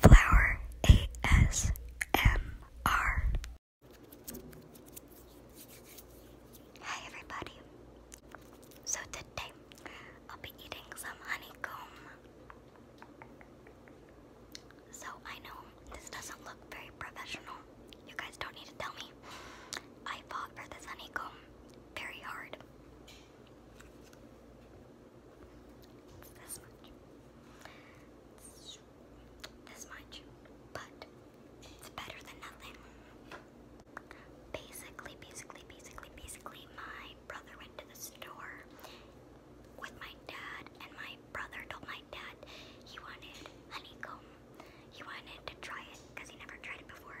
Flower ASMR. Hi everybody. So today I'll be eating some honeycomb. So I know this doesn't look very professional. You guys don't need to tell me. I fought for this honeycomb very hard. This much. This much. But it's better than nothing. Basically, basically, basically, basically, my brother went to the store with my dad, and my brother told my dad he wanted honeycomb. He wanted to try it because he never tried it before.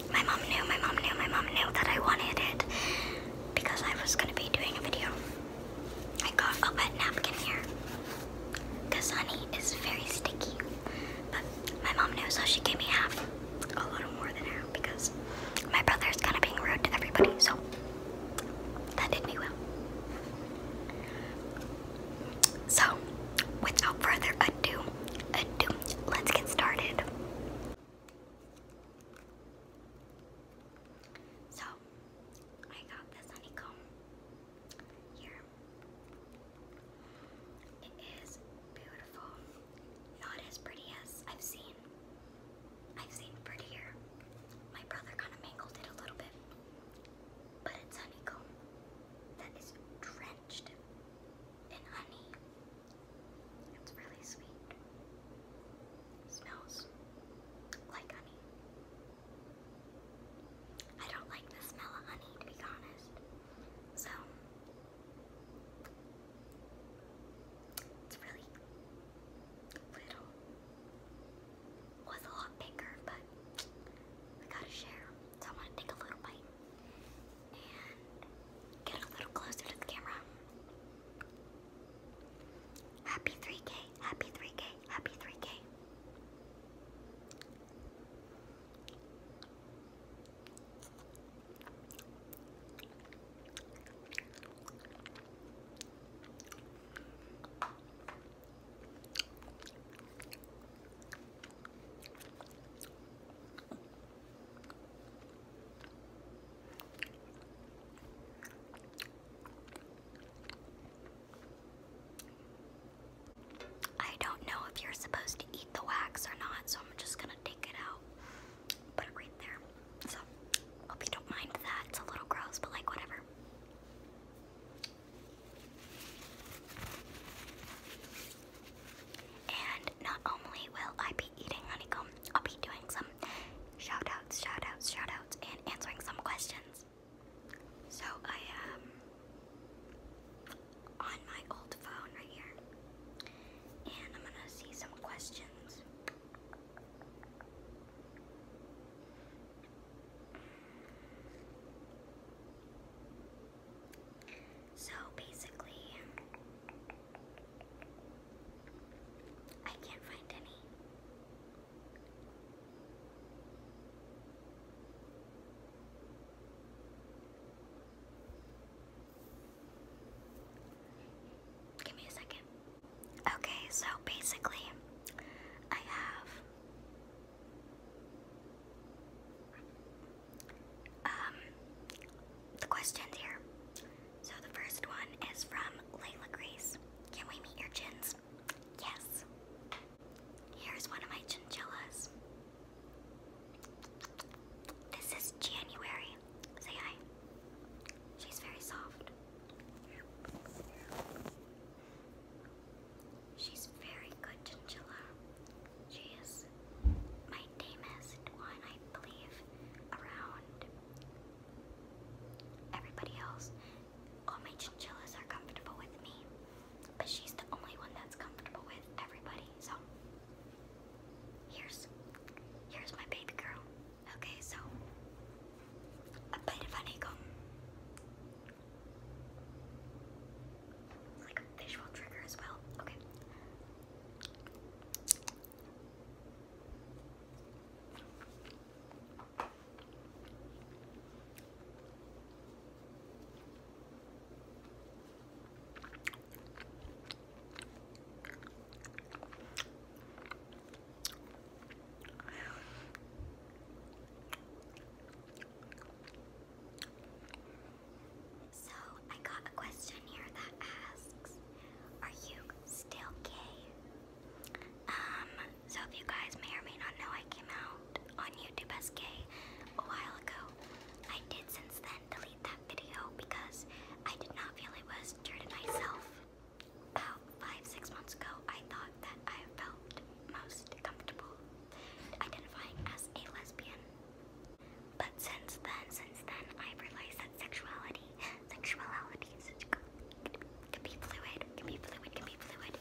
My mom knew, my mom knew, my mom knew that I wanted it because I was gonna be doing a video. I got a wet napkin here because honey is very sticky. But my mom knew, so she gave me half, a lot more than half because my brother's kind of being rude to everybody, so that did me well. So, without further ado, ado, let's get started. So I got this honeycomb here. It is beautiful. Not as pretty as I've seen. I've seen prettier. My brother kind of mangled it a little bit. But it's honeycomb. That is dreadful drenched honey. It's really sweet. smells like honey. I don't like the smell of honey, to be honest. So, it's really little. Was a lot bigger, but we gotta share. So I'm gonna take a little bite get a little closer to the camera. Happy 3K, happy 3K, happy 3K. I don't know if you're supposed to eat the wax or not, so I'm just gonna take it out, put it right there. So, hope you don't mind that. It's a little gross, but like, whatever. And not only will I be eating honeycomb, I'll be doing some shout outs, shout and answering some questions. So I am on my old phone right here, and I'm gonna see some questions. So basically, I can't find any. Give me a second. Okay, so basically, I have um, the questions here. So the first one is from Layla Grace. Can we meet your chins? Yes. Here's one of my chinchillas. This is January. Say hi. She's very soft. She's very good, Chinchilla. She is my tamest one, I believe, around. Everybody else, all my chinchillas are comfortable with me, but she's the only one that's comfortable with everybody. So, here's here's my baby girl. Okay, so a bite of honeycomb. It's like a visual trigger as well. Okay. So, I got a question here that asks, are you still gay? Um, so if you guys may or may not know, I came out on YouTube as gay a while ago. I did since then delete that video because I did not feel it was true to myself about five, six months ago, I thought that I felt most comfortable identifying as a lesbian. But since then, since then, I've realized that sexuality, sexuality is, can be fluid, can be fluid, can be fluid,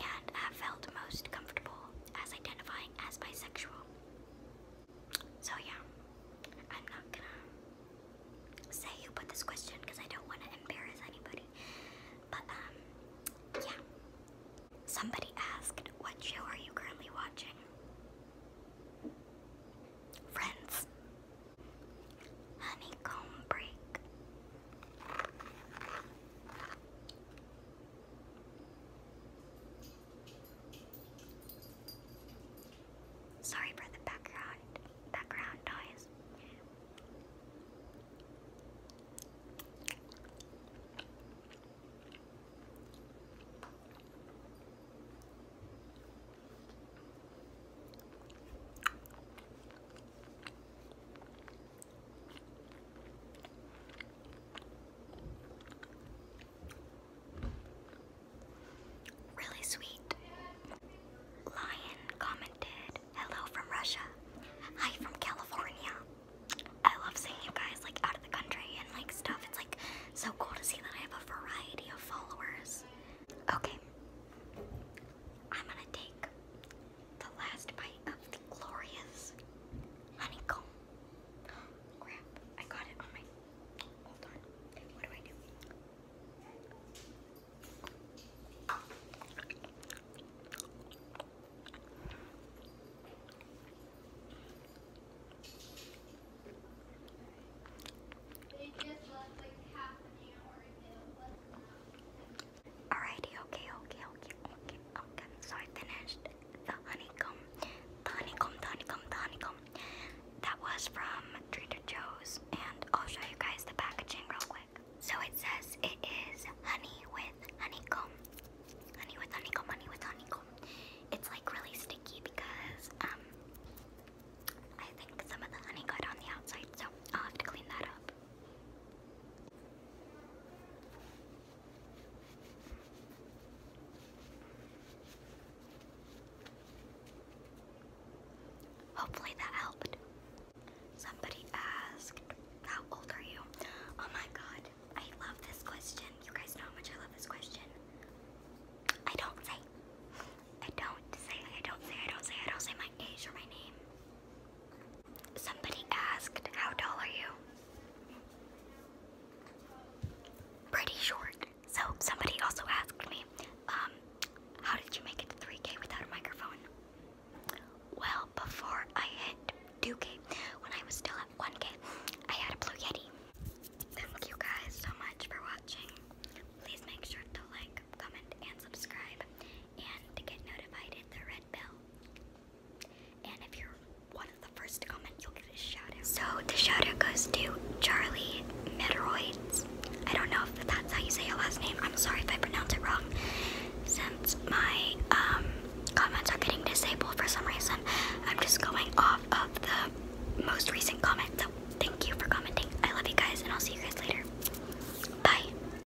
and i have felt most comfortable as identifying as bisexual. So yeah, I'm not gonna say who put this question because I don't want to embarrass anybody. But um, yeah. Somebody asked, what show are you currently watching? Friends. Honeycomb break. Sorry for the background background noise. Really sweet. Lion commented, hello from Russia. Hi from California. I love seeing you guys like out of the country and like stuff. It's like so cool to see that I have a variety of followers. Okay. I'm gonna take the last bite of the glorious honeycomb Oh, crap, I got it okay, okay, okay, okay, okay. Oh, so I finished the honeycomb, the honeycomb, the honeycomb, the honeycomb. That was from Trader Joe's, and I'll show you guys the packaging real quick. So it says it is honey with honeycomb, honey with honeycomb, honey with honeycomb. It's like really sticky because um, I think some of the honey got on the outside, so I'll have to clean that up. Hopefully that helped. Somebody asked, How old are you? Oh my god, I love this question. You guys know how much I love this question. I don't say, I don't say, I don't say, I don't say, I don't say my age or my name. Somebody asked, How tall are you? Pretty short. So, somebody also asked me, um, How did you make it to 3K without a microphone? Well, before I hit 2K, when I was still at 1K, I had a Blue Yeti. Thank you guys so much for watching. Please make sure to like, comment, and subscribe, and to get notified, hit the red bell. So the shout goes to Charlie Meteoroids. I don't know if that's how you say your last name. I'm sorry if I pronounce it wrong. Since my um, comments are getting disabled for some reason, I'm just going off of the most recent comment. So thank you for commenting. I love you guys, and I'll see you guys later. Bye.